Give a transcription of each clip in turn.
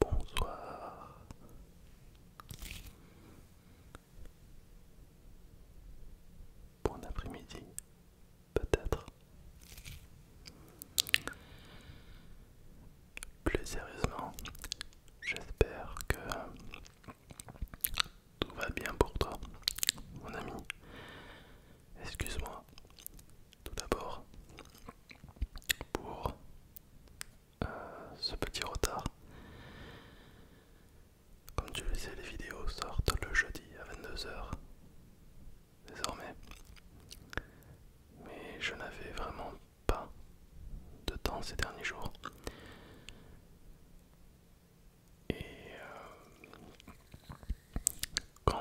Bonsoir. Bon après-midi, peut-être. Plus sérieusement, j'espère que tout va bien pour toi, mon ami. Excuse-moi tout d'abord pour euh, ce petit retard. Comme tu le sais, les vidéos sortent le jeudi à 22h désormais. Mais je n'avais vraiment pas de temps ces derniers jours. Et euh, quand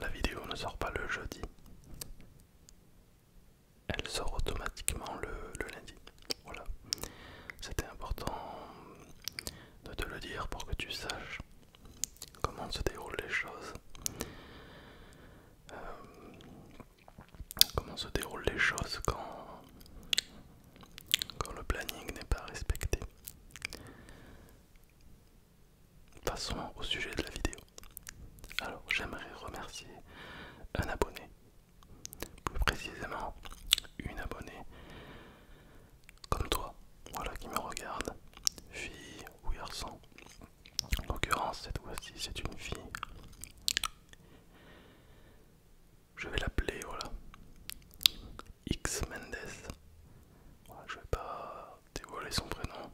la vidéo ne sort pas le jeudi, elle sort automatiquement le, lundi. Voilà. C'était important de te le dire pour que tu saches comment se déroulent les choses. Euh, comment se déroulent les choses quand, quand le planning n'est pas respecté. Passons au sujet de la vidéo. Alors j'aimerais remercier un abonné, plus précisément une abonnée comme toi, voilà qui me regarde, fille ou garçon. En l'occurrence cette fois-ci c'est une fille. Je vais l'appeler voilà X Mendes. je vais pas dévoiler son prénom,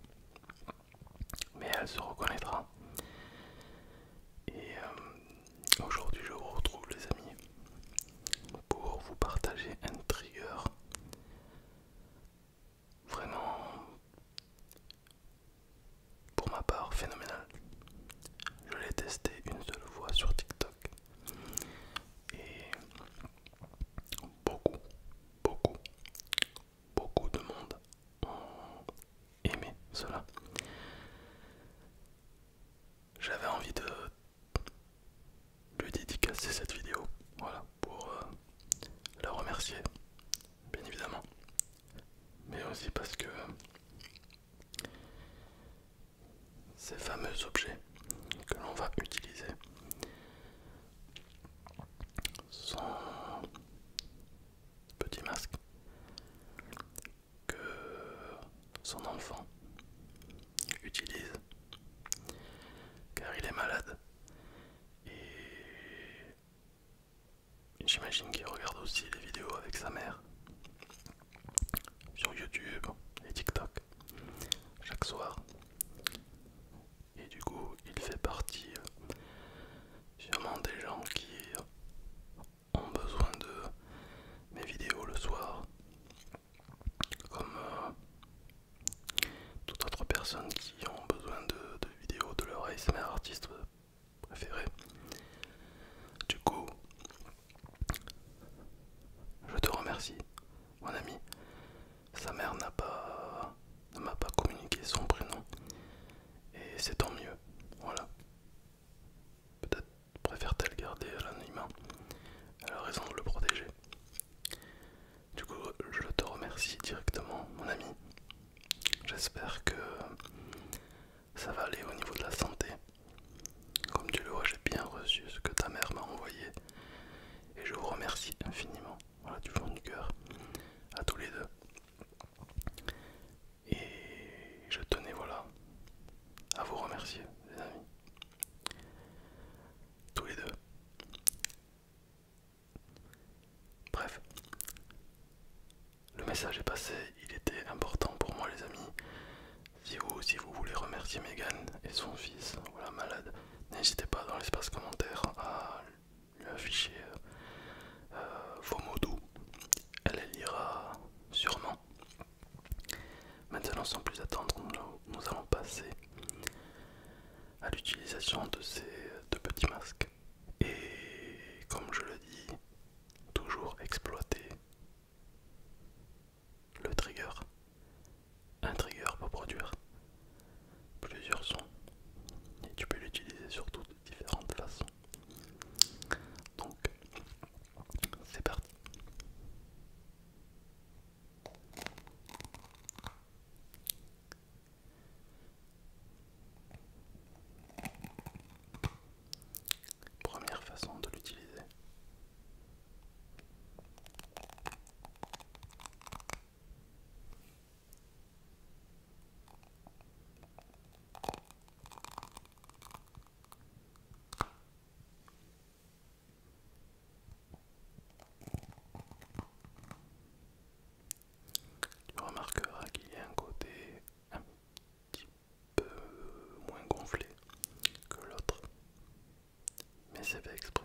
mais elle se reconnaîtra. Et euh, aujourd'hui, je vous retrouve, les amis, pour vous partager un trigger vraiment, pour ma part, phénoménal. Je l'ai testé une seule fois sur TikTok et beaucoup, beaucoup, beaucoup de monde ont aimé cela. J'avais envie de lui dédicacer cette vidéo, voilà, pour euh, la remercier, bien évidemment, mais aussi parce que ces fameux objets que l'on va utiliser son petit masque que son enfant utilise car il est malade et j'imagine qu'il regarde aussi les vidéos avec sa mère sur YouTube et TikTok chaque soir et du coup il fait partie euh, sûrement des gens qui ont besoin de mes vidéos le soir comme euh, toute autre personne qui ont besoin de, vidéos de leur ASMR artiste préféré du coup je te remercie mon ami sa mère n'a pas ne m'a pas communiqué son prénom et c'est tant mieux. Voilà. Peut-être préfère-t-elle garder à l'anonymat. Elle a raison de le protéger. Du coup, je te remercie directement, mon ami. J'espère que ça va aller au niveau de la santé. Comme tu le vois, j'ai bien reçu ce que ta mère m'a envoyé. Et je vous remercie infiniment voilà, du fond du cœur à tous les deux. Et je tenais voilà à vous remercier, les amis, tous les deux. Bref, le message est passé, il était important pour moi, les amis. Si vous, si vous voulez remercier Megan et son fils, voilà malade, n'hésitez pas dans l'espace commentaire à lui afficher euh, euh, vos mots doux. Elle les lira sûrement. Maintenant, sans plus attendre, nous allons passer à l'utilisation de ces deux petits masques. Et comme je le dis, toujours exploiter le trigger un trigger pour produire plusieurs sons et tu peux l'utiliser sur toutes différentes façons. Donc c'est parti. Première façon de l'utiliser. Tu remarqueras qu'il y a un côté un petit peu moins gonflé que l'autre, mais c'est pas exprès.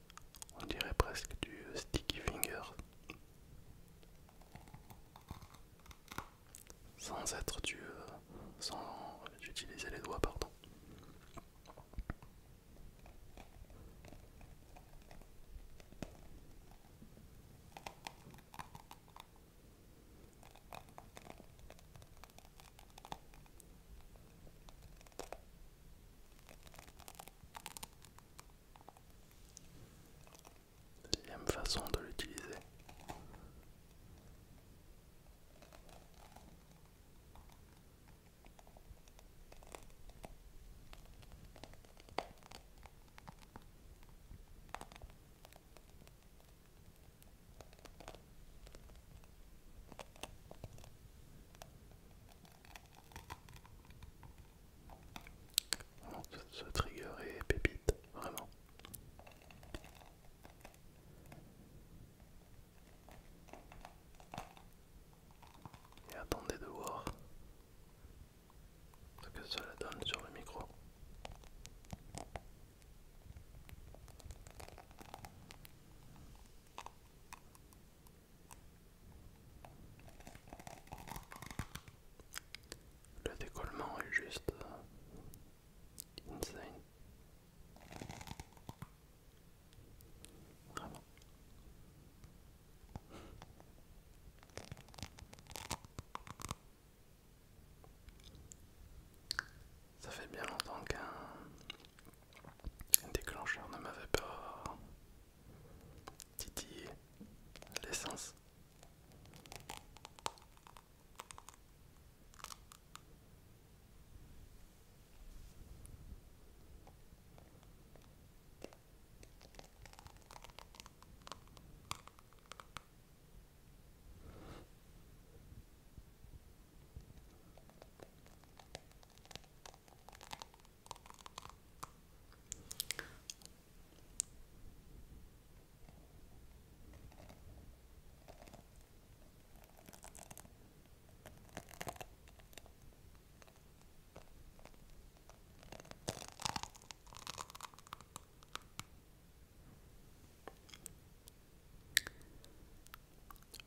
On dirait presque du euh, sticky finger. Sans être du... Euh, sans utiliser les doigts, pardon. Deuxième façon de l'utiliser. Bon, ce, ce trigger est pépite, vraiment. Et attendez de voir ce que cela donne sur le micro. Le décollement est juste insane. Vraiment. Ça fait bien longtemps qu'un déclencheur ne m'avait pas titiller l'essence.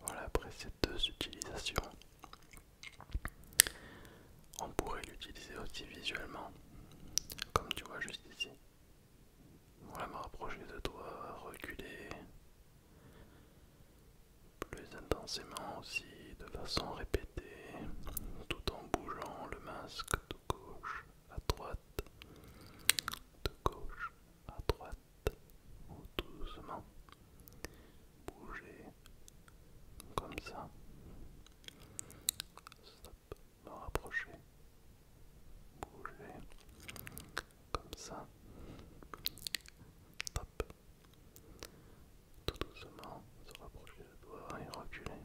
Voilà, après ces deux utilisations, on pourrait l'utiliser aussi visuellement, comme tu vois juste ici. Voilà, me rapprocher de toi, reculer plus intensément aussi, de façon répétée, tout en bougeant le masque de gauche à droite, de gauche à droite, ou doucement bouger comme ça. Stop, me rapprocher, bouger comme ça. Stop. Tout doucement se rapprocher de toi et reculer.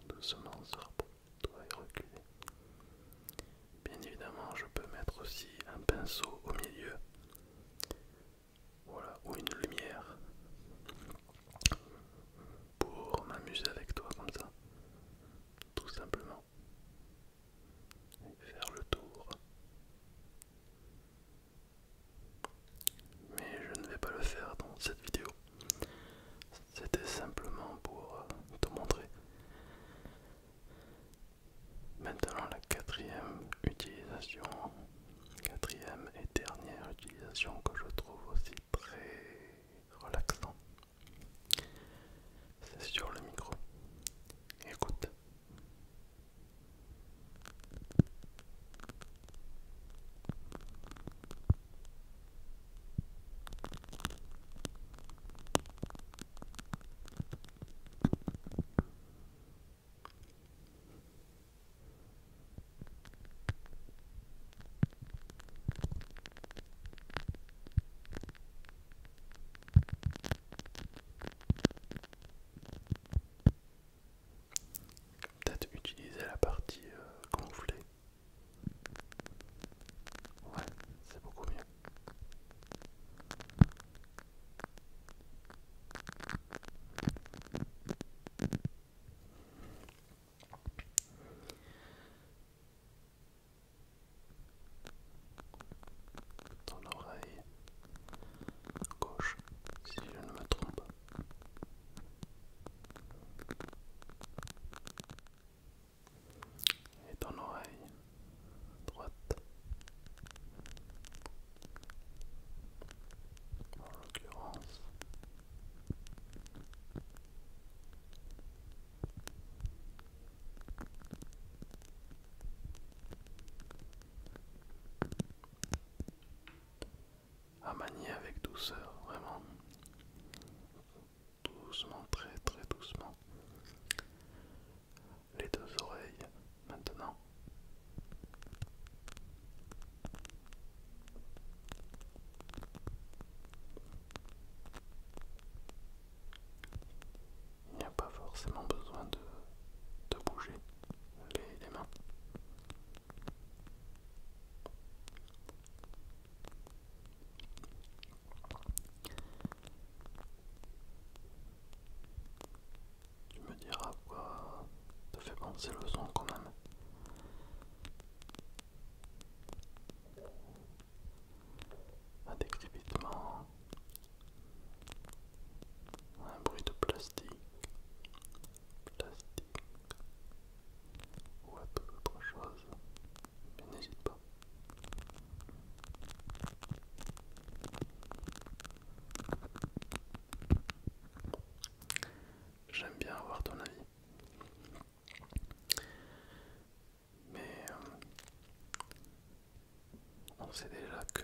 Tout doucement se rapprocher de et reculer. Bien évidemment, je peux mettre aussi un pinceau au milieu voilà, ou une lumière pour m'amuser avec toi comme ça, tout simplement. faire le tour. Mais je ne vais pas le faire dans cette vidéo. C'était simplement pour euh, te montrer. Maintenant la quatrième utilisation Quatrième et dernière utilisation que je trouve aussi très relaxant, c'est sur le micro. Écoute. Peut-être utiliser la partie euh, gonflée. Ouais, c'est beaucoup mieux. Dans l'oreille gauche, si je ne me trompe. Et dans l'oreille droite en l'occurrence. À manier avec douceur, vraiment. Doucement, très très doucement. Les deux oreilles maintenant. Il n'y a pas forcément besoin de, bouger les mains. Tu me diras quoi te fait penser le son quand même. Un décrépitement, un bruit de plastique, plastique ou à toute autre chose, mais n'hésite pas. J'aime bien avoir ton avis. Mais euh, on sait déjà que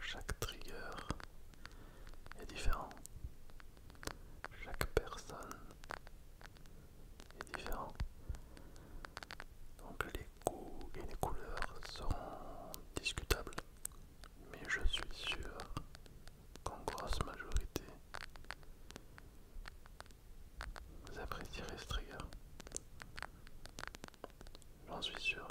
chaque trigger est différent. Chaque personne différent. Donc les goûts et les couleurs sont discutables, mais je suis sûr qu'en grosse majorité, vous apprécierez ce J'en suis sûr.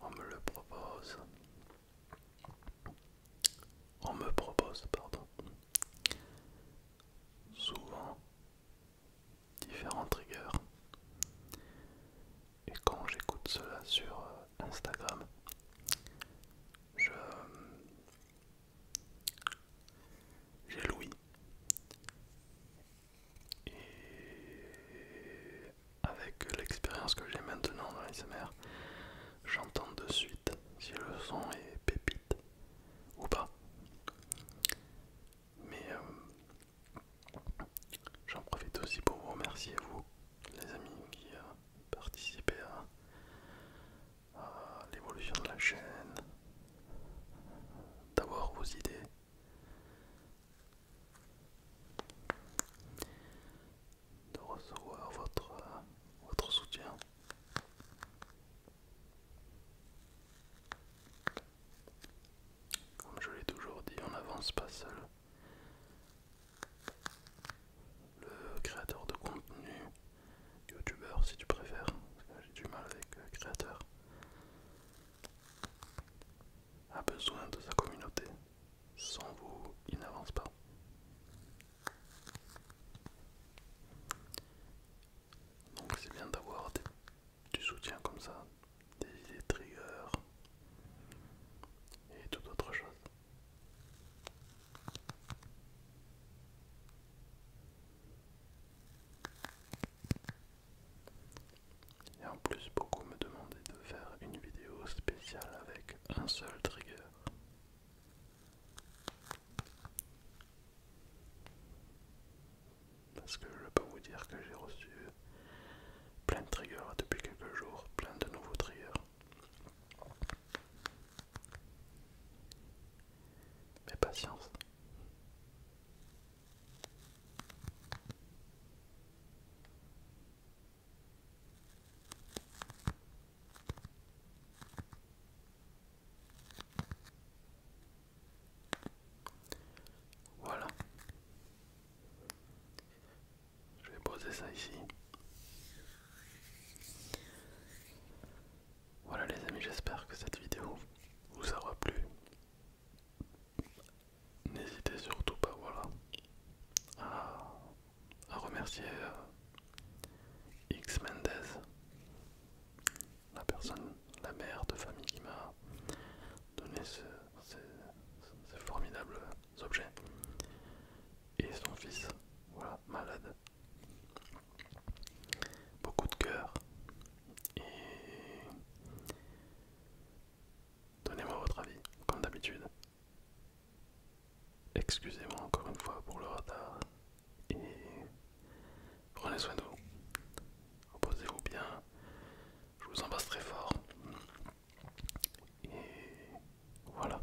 On me le propose. On me propose, pardon. Souvent différents triggers. Et quand j'écoute cela sur euh, Instagram, je, j'ai Louis. Et avec l'expérience que j'ai maintenant dans l'ASMR, j'entends de suite si le son est pépite ou pas. Mais euh, j'en profite aussi pour vous remercier, vous, les amis qui euh, participez à, ah, l'évolution de la chaîne, d'avoir vos idées. De recevoir votre, votre soutien. Comme je l'ai toujours dit, on n'avance pas seul. Le créateur de contenu youtubeur si tu préfères, parce que j'ai du mal avec euh, créateur, a besoin de sa communauté. Sans vous, il n'avance pas. Donc c'est bien d'avoir du soutien comme ça, des idées triggers et toute autre chose. Et en plus, beaucoup me demandaient de faire une vidéo spéciale avec un seul trigger. Parce que je peux vous dire que j'ai reçu plein de triggers depuis quelques jours, plein de nouveaux triggers. Mais patience. Voilà. Je vais poser ça ici. Voilà les amis, j'espère que cette vidéo vous aura plu. N'hésitez surtout pas voilà, à, remercier euh, X Mendez, la personne, la mère de famille qui m'a donné ce, ces, formidables objets. Et son fils, voilà, malade. Beaucoup de cœur, et donnez-moi votre avis, comme d'habitude. Excusez-moi encore une fois pour le retard et prenez soin de vous. Reposez-vous bien. Je vous embrasse très fort. Et voilà.